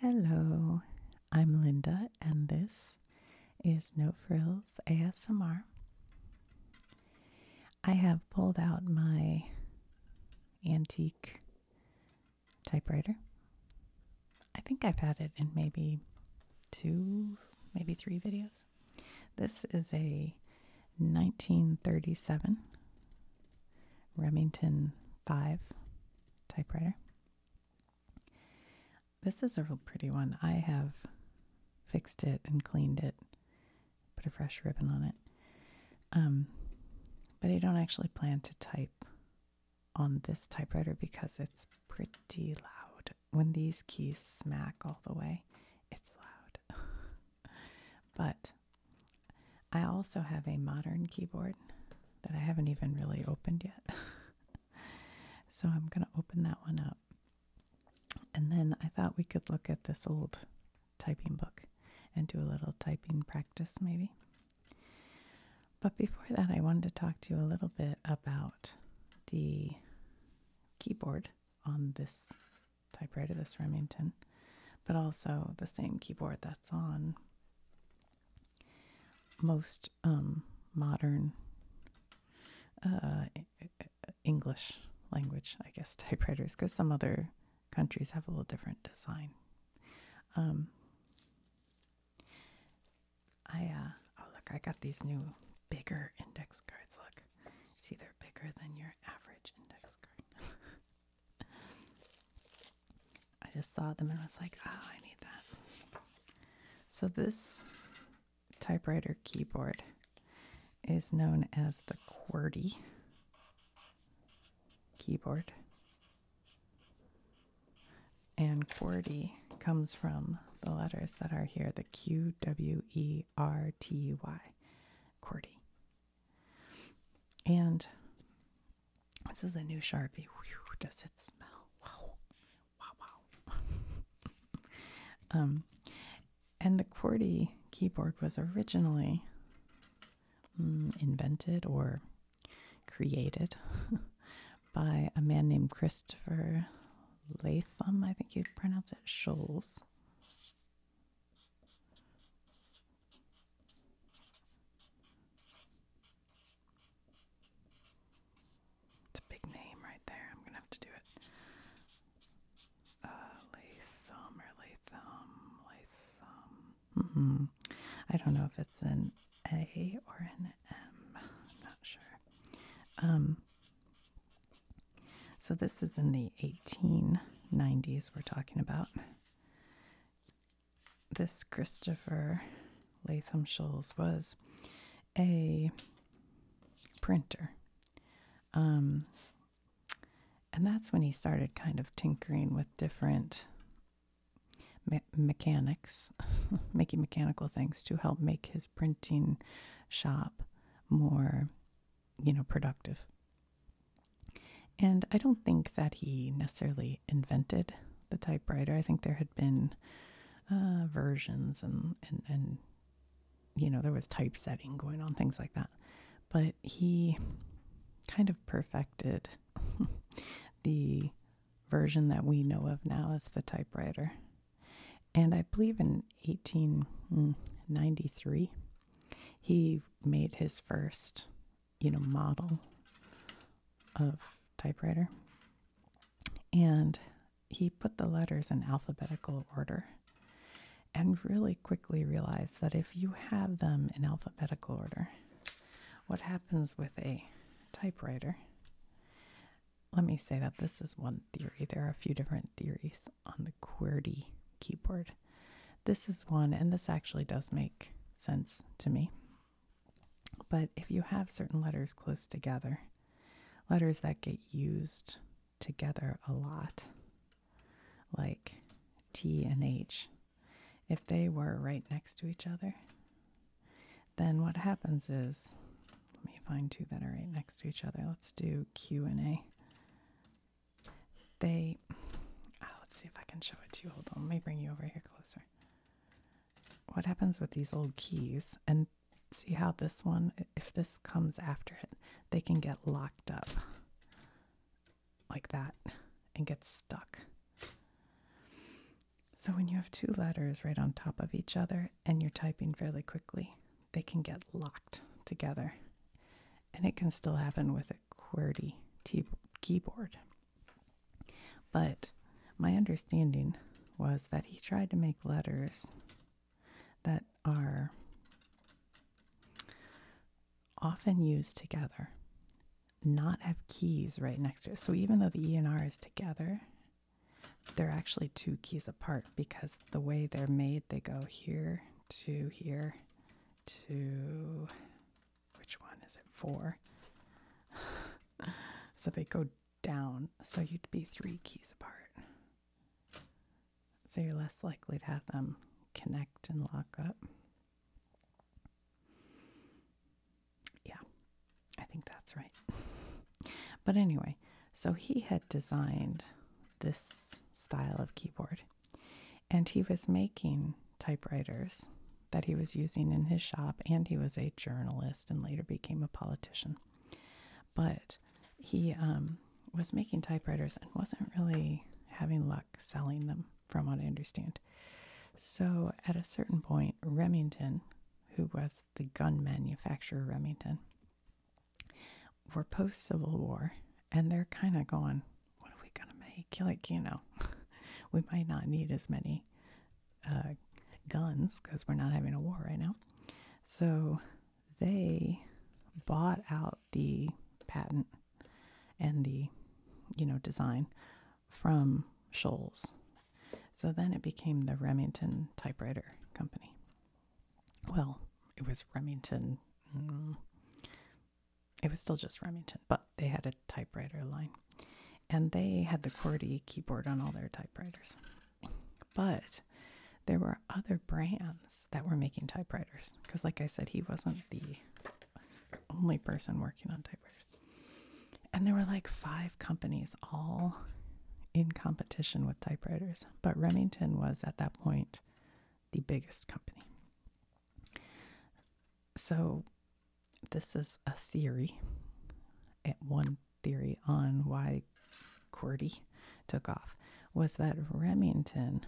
Hello, I'm Linda, and this is No Frills ASMR. I have pulled out my antique typewriter. I think I've had it in maybe two, maybe three videos. This is a 1937 Remington 5 typewriter. This is a real pretty one. I have fixed it and cleaned it, put a fresh ribbon on it. Um, but I don't actually plan to type on this typewriter because it's pretty loud. When these keys smack all the way, it's loud. but I also have a modern keyboard that I haven't even really opened yet. so I'm going to open that one up. And then I thought we could look at this old typing book and do a little typing practice, maybe. But before that, I wanted to talk to you a little bit about the keyboard on this typewriter, this Remington, but also the same keyboard that's on most um, modern uh, English language, I guess, typewriters, because some other countries have a little different design. Um, I uh, oh look, I got these new bigger index cards. Look, see, they're bigger than your average index card. I just saw them and was like, oh, I need that. So this typewriter keyboard is known as the QWERTY keyboard. And QWERTY comes from the letters that are here, the Q W E R T Y, QWERTY. And this is a new Sharpie. does it smell? Wow. Wow, wow. um, and the QWERTY keyboard was originally mm, invented or created by a man named Christopher Latham. I think you'd pronounce it Shoals. It's a big name right there. I'm gonna have to do it. Uh, Latham or Latham, Latham. Mm-hmm. I don't know if it's an A or an M. I'm not sure. Um, so this is in the 1890s we're talking about this Christopher Latham Sholes was a printer. Um, and that's when he started kind of tinkering with different mechanics, making mechanical things to help make his printing shop more, you know, productive. And I don't think that he necessarily invented the typewriter. I think there had been uh, versions and, and, you know, there was typesetting going on, things like that. But he kind of perfected the version that we know of now as the typewriter. And I believe in 1893, he made his first you know, model of typewriter. And he put the letters in alphabetical order and really quickly realized that if you have them in alphabetical order, what happens with a typewriter? Let me say that this is one theory. There are a few different theories on the QWERTY keyboard. This is one, and this actually does make sense to me. But if you have certain letters close together, letters that get used together a lot, like T and H, if they were right next to each other, then what happens is, let me find two that are right next to each other. Let's do Q and A. They, oh, let's see if I can show it to you. Hold on, let me bring you over here closer. What happens with these old keys? And see how this one, if this comes after it, they can get locked up like that and get stuck. So when you have two letters right on top of each other and you're typing fairly quickly, they can get locked together. And it can still happen with a keyboard. But my understanding was that he tried to make letters that are often used together, not have keys right next to it. So even though the E and R is together, they're actually two keys apart because the way they're made, they go here to here to which one is it? for? so they go down, so you'd be three keys apart. So you're less likely to have them connect and lock up. Yeah, I think that's right. But anyway, so he had designed this style of keyboard and he was making typewriters that he was using in his shop and he was a journalist and later became a politician but he um, was making typewriters and wasn't really having luck selling them from what i understand so at a certain point remington who was the gun manufacturer remington were post civil war and they're kind of going what are we gonna make? Like, you know, we might not need as many uh, guns because we're not having a war right now. So they bought out the patent and the, you know, design from Shoals. So then it became the Remington typewriter company. Well, it was Remington. Mm, it was still just Remington, but they had a typewriter line. And they had the QWERTY keyboard on all their typewriters. But there were other brands that were making typewriters. Because, like I said, he wasn't the only person working on typewriters. And there were like five companies all in competition with typewriters. But Remington was at that point the biggest company. So this is a theory, one theory on why QWERTY took off, was that Remington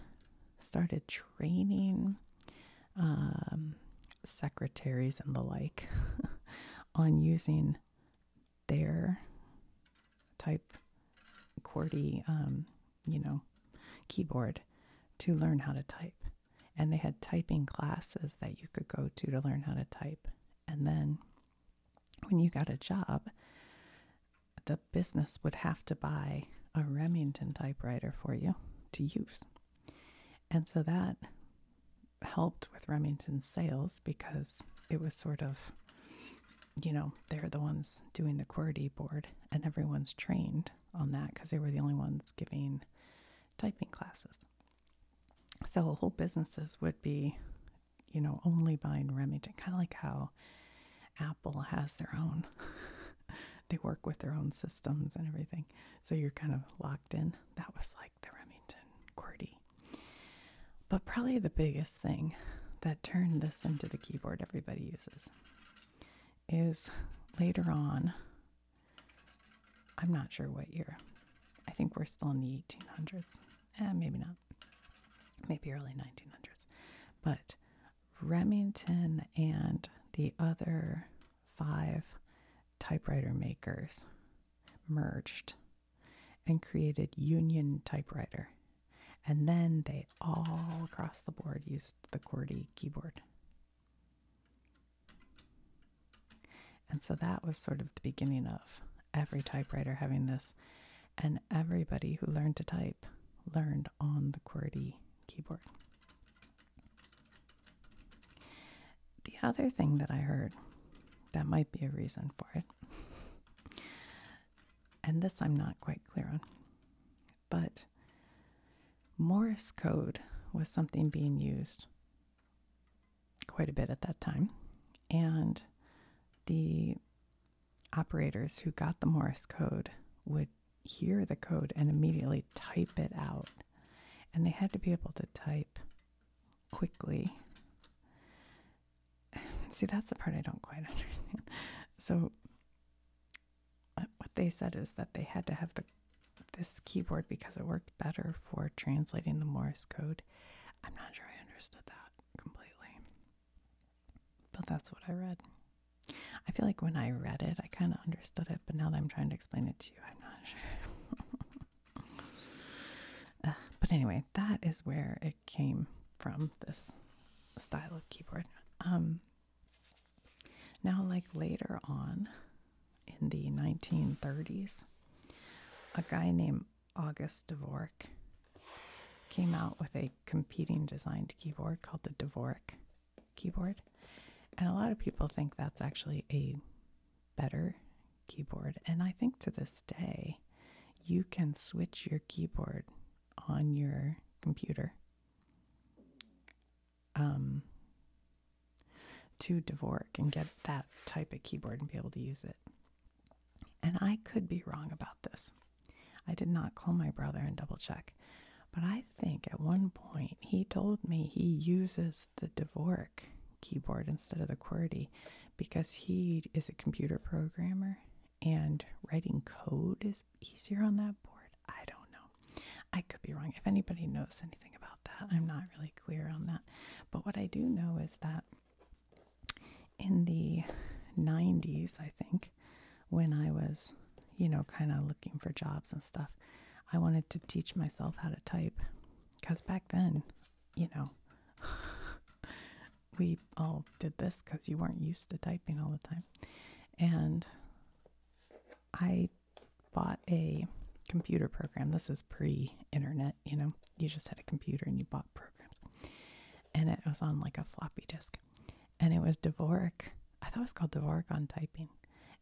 started training um, secretaries and the like on using their type QWERTY, um, you know, keyboard to learn how to type and they had typing classes that you could go to to learn how to type. And then when you got a job, the business would have to buy a Remington typewriter for you to use. And so that helped with Remington sales because it was sort of, you know, they're the ones doing the QWERTY board and everyone's trained on that because they were the only ones giving typing classes. So whole businesses would be, you know, only buying Remington, kind of like how Apple has their own. they work with their own systems and everything. So you're kind of locked in. That was like the Remington QWERTY. But probably the biggest thing that turned this into the keyboard everybody uses is later on I'm not sure what year. I think we're still in the 1800s. and eh, maybe not. Maybe early 1900s. But Remington and the other five typewriter makers merged and created Union Typewriter. And then they all across the board used the QWERTY keyboard. And so that was sort of the beginning of every typewriter having this. And everybody who learned to type learned on the QWERTY keyboard. The other thing that I heard that might be a reason for it, and this I'm not quite clear on, but Morse code was something being used quite a bit at that time. And the operators who got the Morse code would hear the code and immediately type it out. And they had to be able to type quickly. See, that's the part I don't quite understand. So what they said is that they had to have the this keyboard because it worked better for translating the Morse code. I'm not sure I understood that completely, but that's what I read. I feel like when I read it, I kind of understood it, but now that I'm trying to explain it to you, I'm not sure. Uh, but anyway, that is where it came from this style of keyboard. Um, now, like later on in the 1930s, a guy named August Dvorak came out with a competing designed keyboard called the Dvorak keyboard. And a lot of people think that's actually a better keyboard. And I think to this day, you can switch your keyboard on your computer um, to Dvorak and get that type of keyboard and be able to use it. And I could be wrong about this. I did not call my brother and double check, but I think at one point he told me he uses the Dvorak keyboard instead of the QWERTY because he is a computer programmer and writing code is easier on that board. I don't know. I could be wrong. If anybody knows anything about that, I'm not really clear on that. But what I do know is that in the 90s, I think, when I was, you know, kind of looking for jobs and stuff, I wanted to teach myself how to type. Because back then, you know, we all did this because you weren't used to typing all the time. And I bought a computer program. This is pre internet, you know, you just had a computer and you bought programs. And it was on like a floppy disk. And it was Dvorak. I thought it was called Dvorak on typing.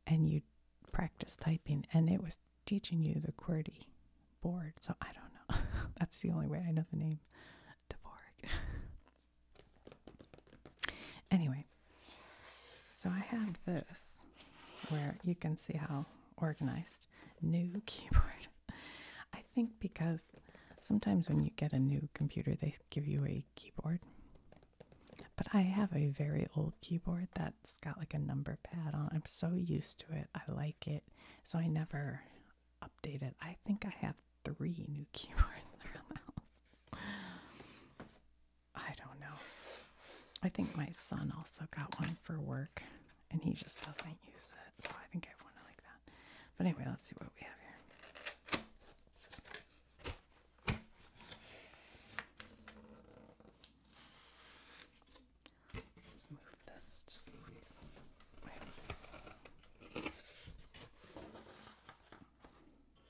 And you practice typing, and it was teaching you the QWERTY board. So I don't know. That's the only way I know the name Dvorak. anyway, so I have this where you can see how organized. New keyboard. I think because sometimes when you get a new computer, they give you a keyboard. But I have a very old keyboard that's got like a number pad on. I'm so used to it. I like it. So I never update it. I think I have three new keyboards around the house. I don't know. I think my son also got one for work and he just doesn't use it. So I think I have one like that. But anyway, let's see what we have here. Let's move this. Just Wait.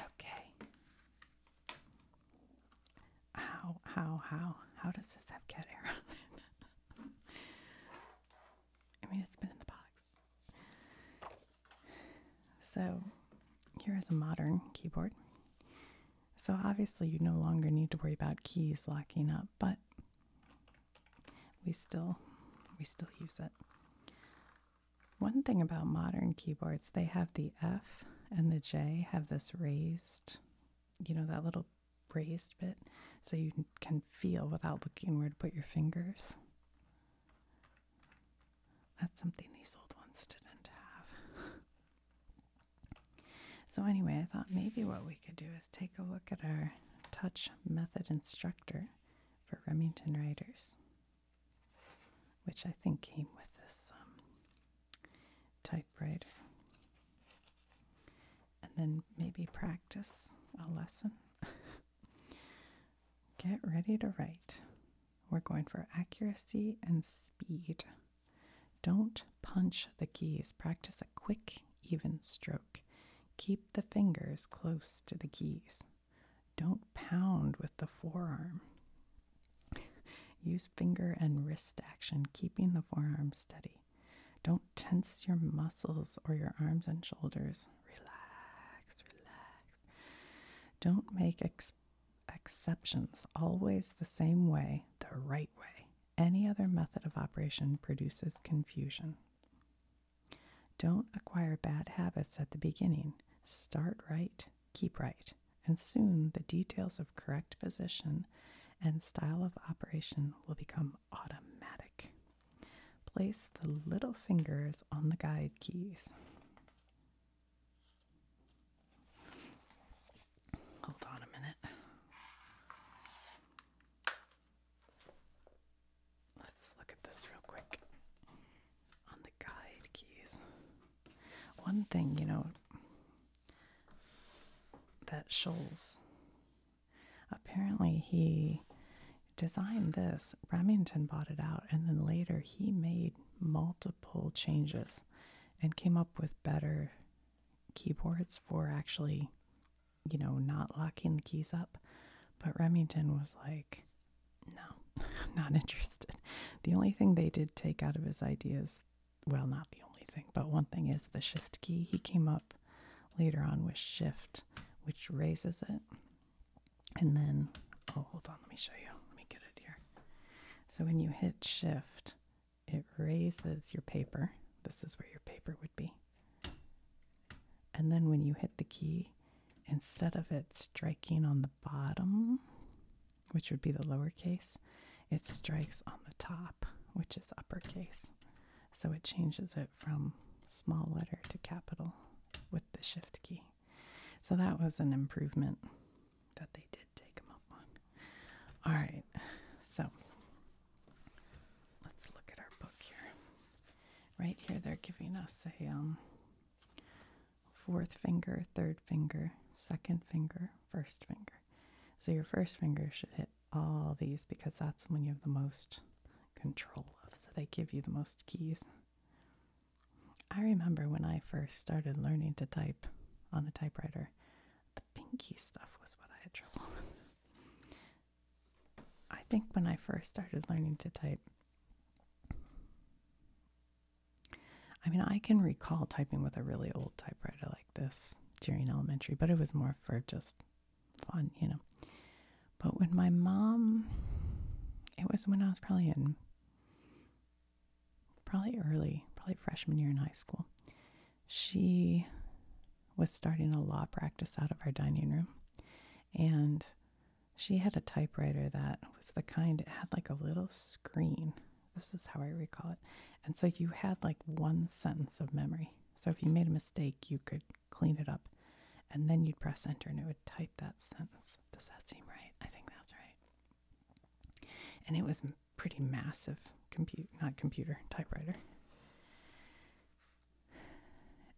Okay. How, how, how, how does this have cat hair I mean, it's been in the box. So, here is a modern keyboard. So, obviously, you no longer need to worry about keys locking up, but we still we still use it. One thing about modern keyboards, they have the F and the J have this raised, you know, that little raised bit, so you can feel without looking where to put your fingers. That's something these old ones didn't have. so, anyway, I thought maybe what we could do is take a look at our touch method instructor for Remington writers which I think came with this um, typewriter. And then maybe practice a lesson. Get ready to write. We're going for accuracy and speed. Don't punch the keys. Practice a quick, even stroke. Keep the fingers close to the keys. Don't pound with the forearm. Use finger and wrist action, keeping the forearm steady. Don't tense your muscles or your arms and shoulders. Relax, relax. Don't make ex exceptions always the same way, the right way. Any other method of operation produces confusion. Don't acquire bad habits at the beginning. Start right, keep right, and soon the details of correct position and style of operation will become automatic. Place the little fingers on the guide keys. Hold on a minute. Let's look at this real quick on the guide keys. One thing, you know, that Shoals apparently he designed this. Remington bought it out, and then later he made multiple changes and came up with better keyboards for actually, you know, not locking the keys up. But Remington was like, no, I'm not interested. The only thing they did take out of his ideas, well, not the only thing, but one thing is the shift key. He came up later on with shift, which raises it. And then, oh, hold on, let me show you. Let me get it here. So when you hit shift, it raises your paper. This is where your paper would be. And then when you hit the key, instead of it striking on the bottom, which would be the lowercase, it strikes on the top, which is uppercase. So it changes it from small letter to capital with the shift key. So that was an improvement that they did take them up on. All right, so let's look at our book here. Right here, they're giving us a um, fourth finger, third finger, second finger, first finger. So your first finger should hit all these because that's when you have the most control of. So they give you the most keys. I remember when I first started learning to type on a typewriter, the pinky stuff was what I had trouble with. I think when I first started learning to type, I mean, I can recall typing with a really old typewriter like this during elementary, but it was more for just fun, you know. But when my mom, it was when I was probably in, probably early, probably freshman year in high school, she was starting a law practice out of our dining room. And she had a typewriter that was the kind, it had like a little screen. This is how I recall it. And so you had like one sentence of memory. So if you made a mistake, you could clean it up. And then you'd press enter and it would type that sentence. Does that seem right? I think that's right. And it was pretty massive compute, not computer, typewriter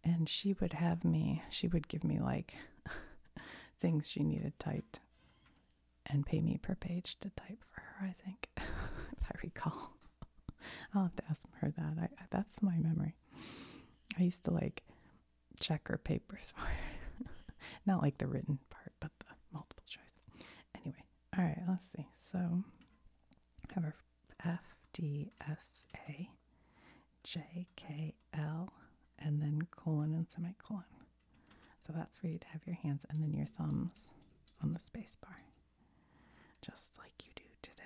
and she would have me, she would give me like things she needed typed and pay me per page to type for her, I think, if I recall. I'll have to ask her that. I, that's my memory. I used to like check her papers for her. Not like the written part, but the multiple choice. Anyway, all right, let's see. So, have our FDSA JKL, and then colon and semicolon. So that's where you'd have your hands and then your thumbs on the space bar, just like you do today.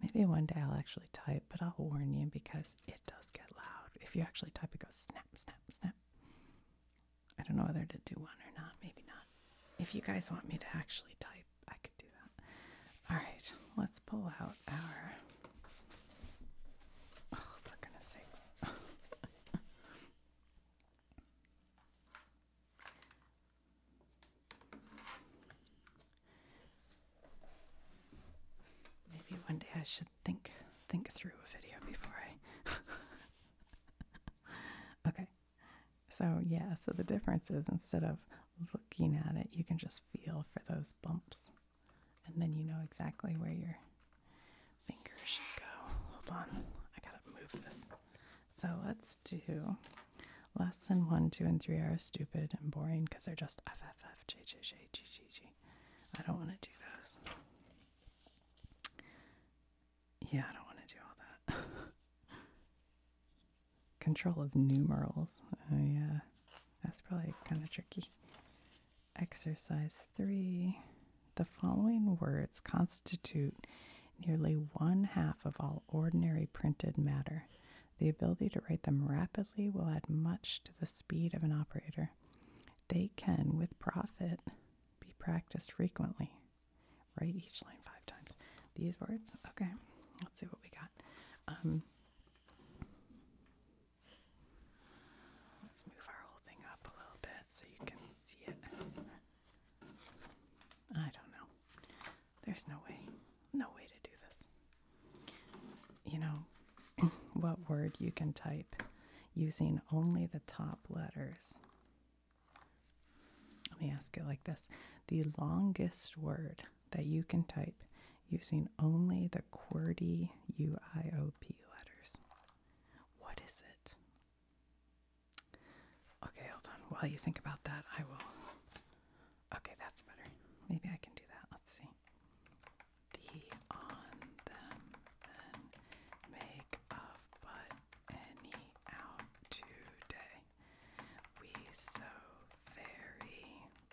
Maybe one day I'll actually type, but I'll warn you because it does get loud. If you actually type, it goes snap, snap, snap. I don't know whether to do one or not. Maybe not. If you guys want me to actually type, I could do that. All right, let's pull out our. Oh, for sakes. Maybe one day I should think think through a video before I okay, so yeah, so the difference is instead of looking at it, you can just feel for those bumps, and then you know exactly where your fingers should go. Hold on, I gotta move this. So let's do lesson one, two, and three are stupid and boring because they're just F, F, F, J, J, J, G, G, G. I don't want to do those. Yeah, I don't want to do all that. Control of numerals. Oh, yeah. That's probably kind of tricky. Exercise three. The following words constitute nearly one half of all ordinary printed matter. The ability to write them rapidly will add much to the speed of an operator. They can, with profit, be practiced frequently. Write each line five times. These words? Okay, let's see what we got. Um, let's move our whole thing up a little bit so you can see it. I don't know. There's no way. No way to do this. You know, what word you can type using only the top letters let me ask it like this the longest word that you can type using only the QWERTY UIOP letters. What is it? Okay, hold on. While you think about that, I will. Okay, that's better. Maybe I can do that. Let's see. The on them make of but any out today. We so very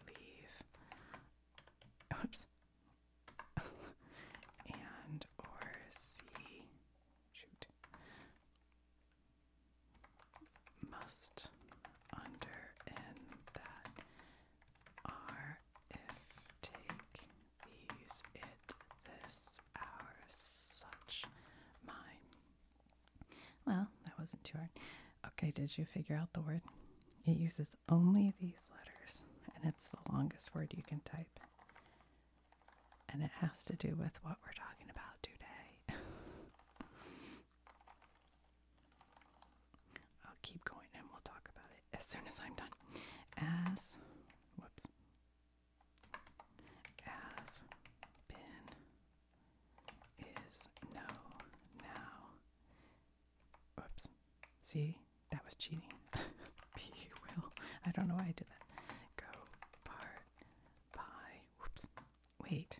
leave. Oops. and or see. Shoot. Must under in that are if take these, it, this, our, such, my. Well, that wasn't too hard. Okay, did you figure out the word? It uses only these letters, and it's the longest word you can type. And it has to do with what we're talking about today. I'll keep going and we'll talk about it as soon as I'm done. As, whoops, as been is no now. Oops. See? That was cheating. Be will. I don't know why I did that. Go part by. Whoops. Wait.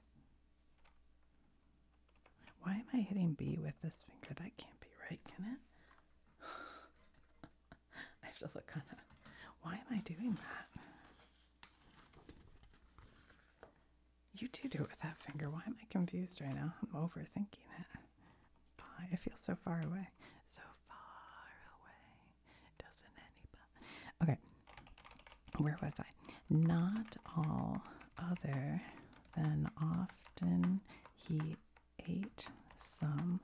Why am I hitting B with this finger? That can't be right, can it? I have to look on a, why am I doing that? You do do it with that finger. Why am I confused right now? I'm overthinking it. Bye. I feel so far away. So far away. Doesn't anybody? Okay. Where was I? Not all other than often he Eight some,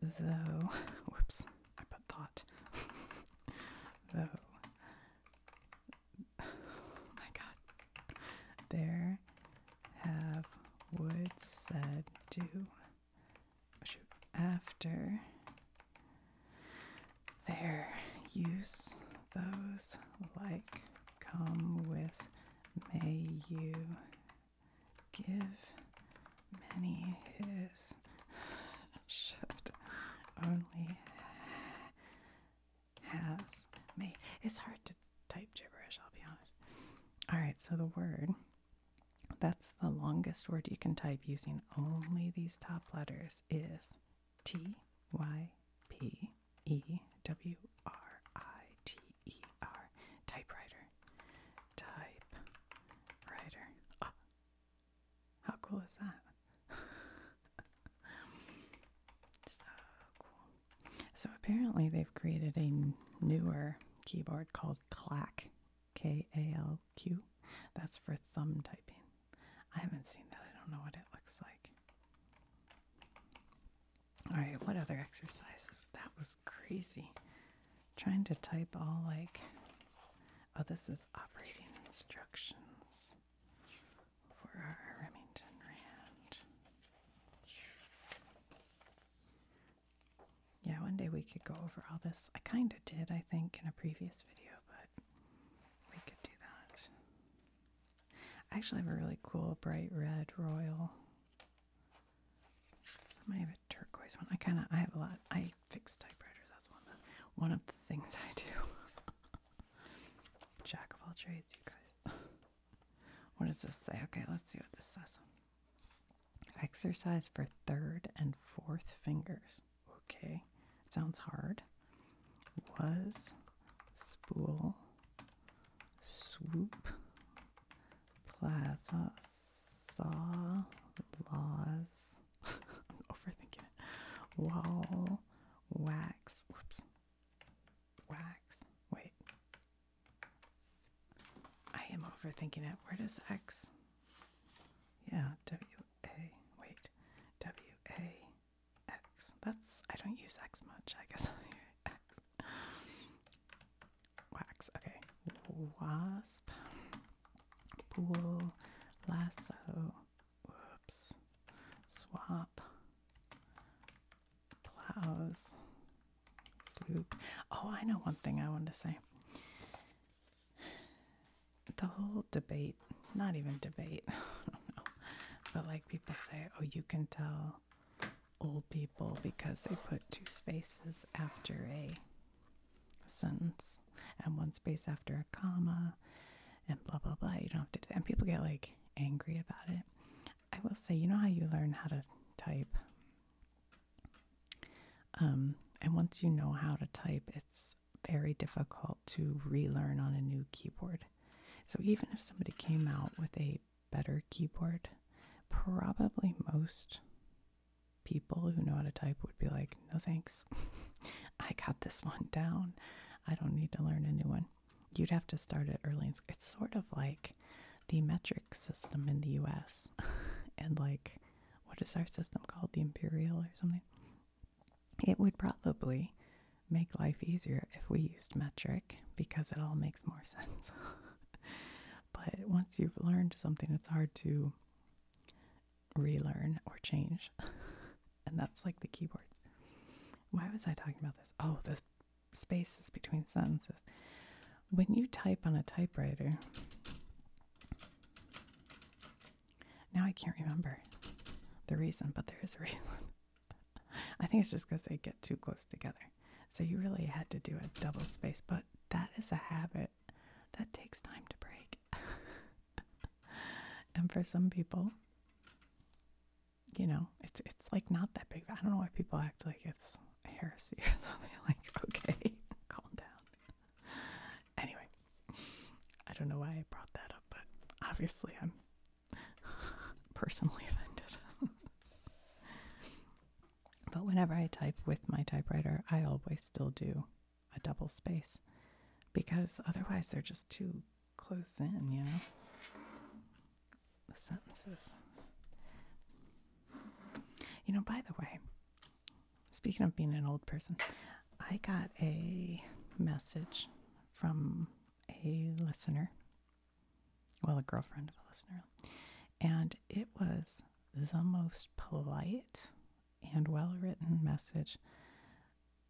though. Whoops, I put thought. though. my god. There have would said do. Oh, after their use, those like come with may you give many his should only has me. It's hard to type gibberish, I'll be honest. All right, so the word that's the longest word you can type using only these top letters is T Y P E W R I T T E R typewriter. Type writer. Ah, how cool is that? so cool. So apparently they've created a newer keyboard called Clack, K A L Q. That's for thumb typing. I haven't seen that. I don't know what it looks like. All right, what other exercises? That was crazy trying to type all like oh this is operating instructions for our Remington Rand. Yeah, one day we could go over all this. I kind of did, I think, in a previous video, but we could do that. I actually have a really cool bright red royal I might have a turquoise one. I kind of I have a lot. I fix typewriters. That's one of the, one of the things I do. Jack of all trades, you guys. what does this say? Okay, let's see what this says. Exercise for third and fourth fingers. Okay, sounds hard. Was spool swoop Plaza uh, saw laws. I'm overthinking it. Wall wax. Whoops. Wax. Wait. I am overthinking it. Where does X? Yeah, W A. Wait. W A X. That's I don't use X much. I guess I hear X wax. Okay, wasp, pool, lasso, whoops, swap, plows, sloop. Oh, I know one thing I wanted to say. The whole debate, not even debate, but like people say, oh, you can tell old people because they put two spaces after a sentence and one space after a comma and blah blah blah. You don't have to do that. And people get like angry about it. I will say, you know how you learn how to type? Um, and once you know how to type, it's very difficult to relearn on a new keyboard. So even if somebody came out with a better keyboard, probably most people who know how to type would be like, no thanks. I got this one down. I don't need to learn a new one. You'd have to start at early. It's sort of like the metric system in the US. and like, what is our system called? The imperial or something? It would probably make life easier if we used metric because it all makes more sense. But once you've learned something, it's hard to relearn or change. and that's like the keyboard. Why was I talking about this? Oh, the spaces between sentences. When you type on a typewriter, now I can't remember the reason, but there is a reason. I think it's just because they get too close together. So you really had to do a double space, but that is a habit that takes time to break. and for some people, you know, it's it's like not that big. I don't know why people act like it's heresy or something. Like, okay, calm down. Anyway, I don't know why I brought that up, but obviously I'm personally offended. But whenever I type with my typewriter, I always still do a double space because otherwise they're just too close in, you know? The sentences. You know, by the way, speaking of being an old person, I got a message from a listener, well, a girlfriend of a listener, and it was the most polite and well written message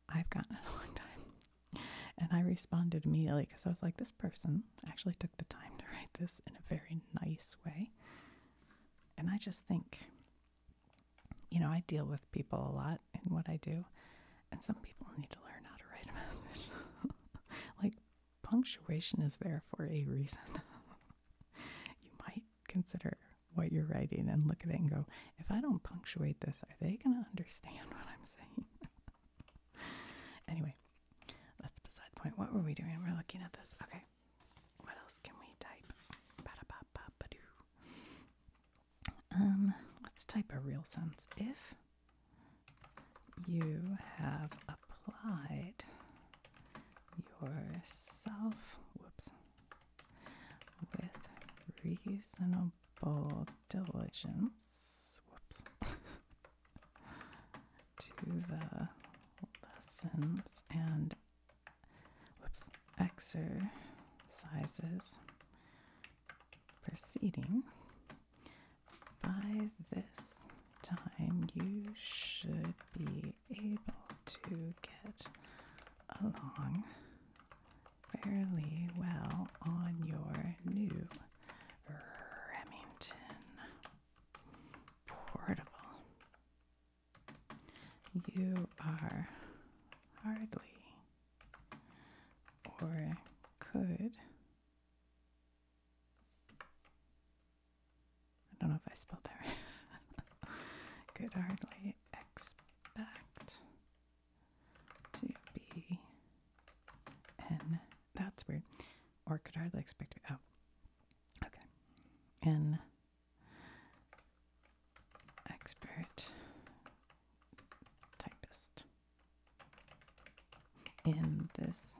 I've gotten in a long time. And I responded immediately because I was like, this person actually took the time to write this in a very nice way. And I just think, you know, I deal with people a lot in what I do, and some people need to learn how to write a message. like, punctuation is there for a reason. you might consider what you're writing and look at it and go, if I don't punctuate this, are they going to understand what I'm saying? anyway, that's beside the point. What were we doing? We're looking at this. Okay. What else can we type? Um, let's type a real sentence. If you have applied yourself whoops, with reasonable diligence whoops, to the lessons and whoops, exercises preceding by this time, you should be able to get along fairly well on your new Remington Portable. You are hardly or could I don't know if I spelled that right. Could hardly expect to be an. That's weird. Or could hardly expect to. Oh. Okay. An expert typist in this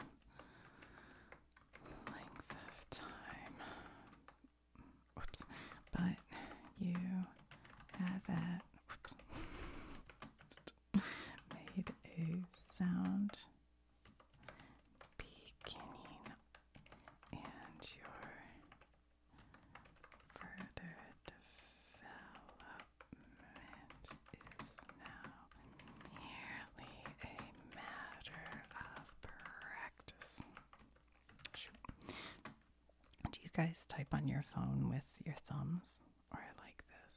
length of time. Oops. But you had that oops, made a sound beginning and your further development is now merely a matter of practice. Do you guys type on your phone with your thumbs or like this?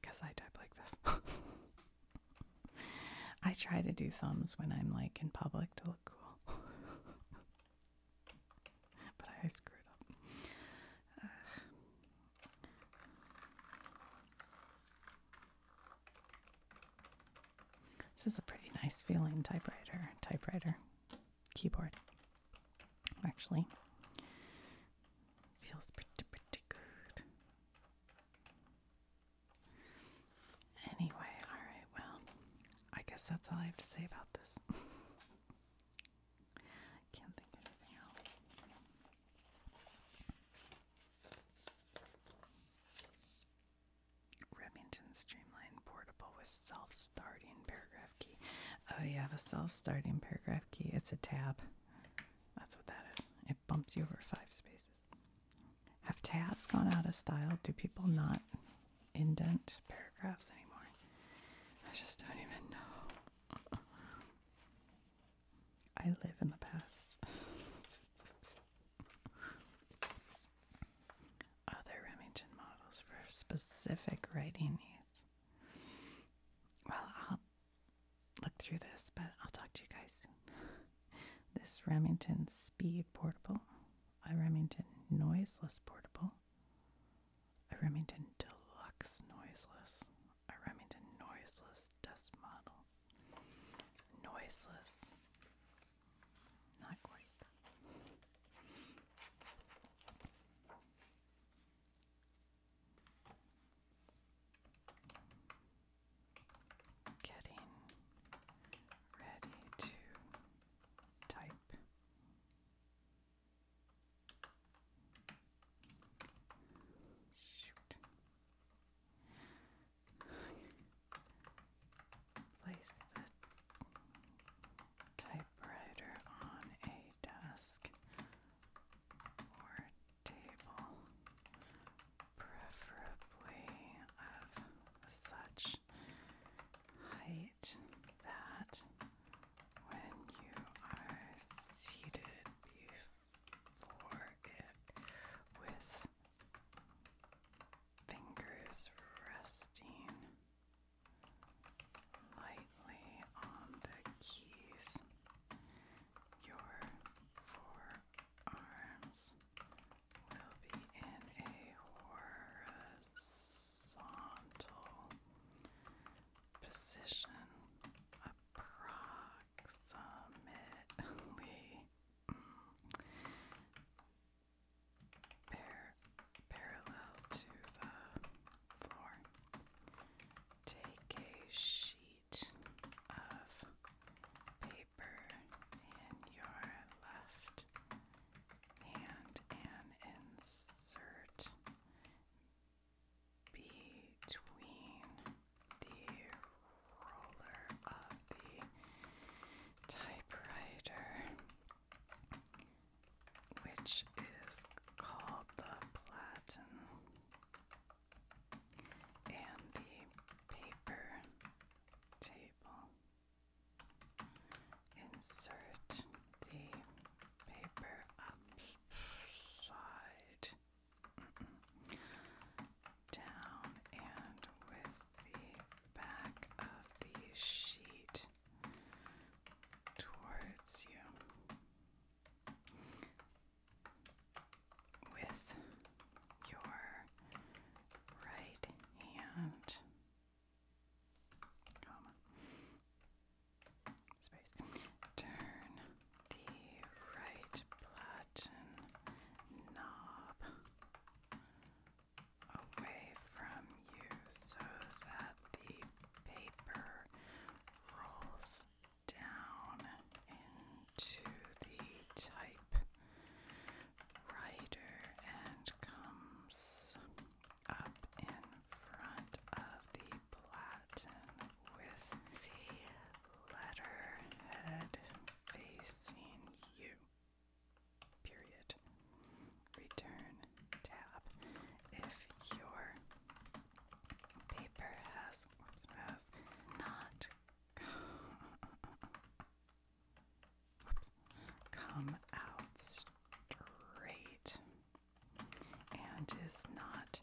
Because I type like this. I try to do thumbs when I'm like in public to look cool. but I screwed up. This is a pretty nice feeling typewriter, typewriter, keyboard. Actually, feels pretty, pretty good. Anyway, alright, well, I guess that's all I have to say about this. I can't think anything else. Remington Streamline Portable with self starting paragraph key. Oh, yeah, the self starting paragraph key. It's a tab. That's what that is. It bumps you over five spaces. Have tabs gone out of style? Do people not indent paragraphs anymore? I just don't even know. I live in the past. Other Remington models for specific writing needs. Well, I'll look through this, but I'll talk to you guys soon. this Remington Speed Portable, a Remington Noiseless Portable, a Remington Deluxe Noiseless, a Remington noiseless desk model. Noiseless. Not quite. Getting ready to type. Shoot. Place the typewriter on a desk or table, preferably of such height that when you are seated for it with fingers resting lightly on the keys. Your forearms will be in a horizontal position approximately mm, parallel to the floor. Take a sheet of paper in your left hand and insert between the roller of the typewriter, which is called the platen, and the paper table. Insert the paper upside down and with the back of the sheet towards you with your right hand comma space turn the right platen knob away from you so that the paper rolls down into the type writer and comes up in front of the platen with the letterhead facing you. Period. Return tab. If your paper has, not come out straight and is not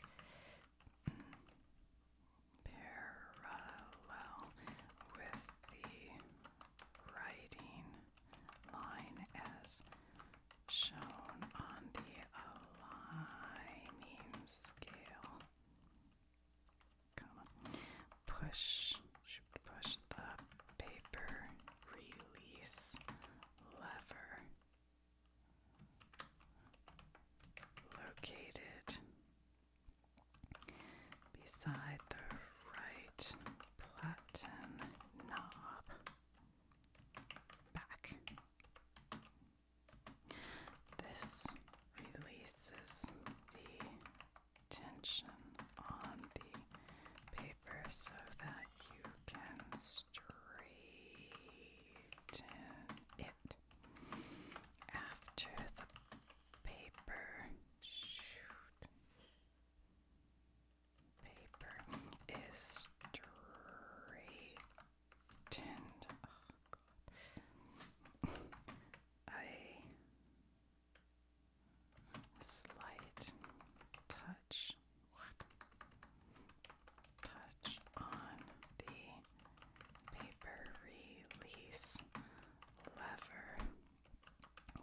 parallel with the writing line as shown on the aligning scale. Comma. Push, push the paper release lever located beside the right platen knob back. This releases the tension on the paper so that you can straighten it after the paper shoot paper is straightened. Oh, A slight touch what touch on the Paper release lever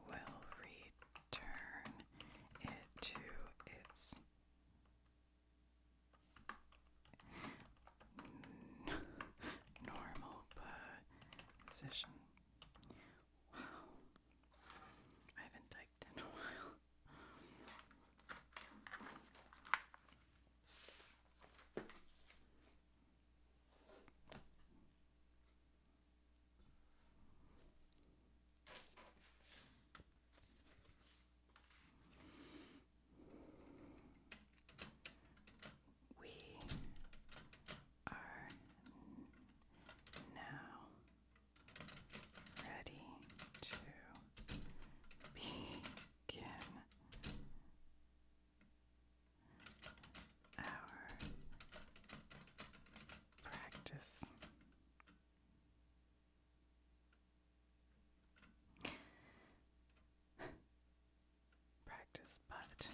will return it to its normal position. Wow. I haven't typed in a while. We are now ready to begin our practice. Practice, but,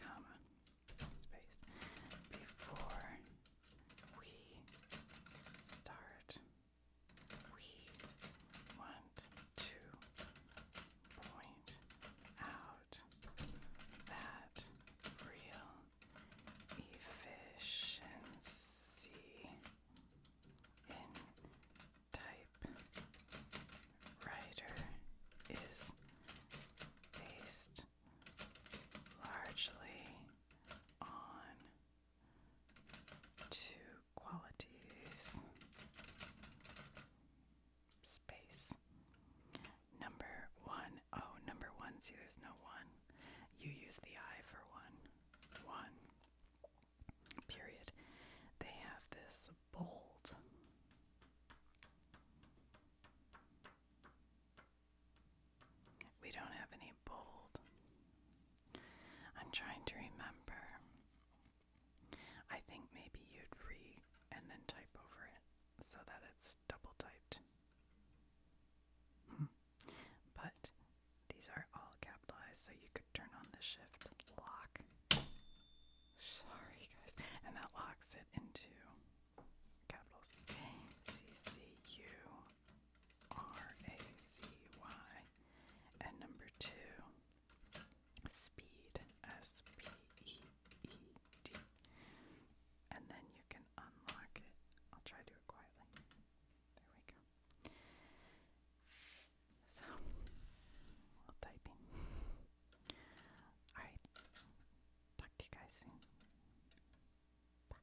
comma, space, before we start we want to point out that real efficiency in typewriter is based largely on two qualities. Space. Number one. Oh, number one. See, there's no one. You use the I for one. One. Period. They have this bold. We don't have any bold. I'm trying to remember. I think maybe you'd re and then type over it so that it's double typed. Hmm. But these are all capitalized, so you could turn on the shift lock. Sorry, guys. And that locks it into capitals. C C U R A C Y. And number two Speed, S P E E D. And then you can unlock it. I'll try to do it quietly. There we go. So, while typing. Alright. Talk to you guys soon. Bye.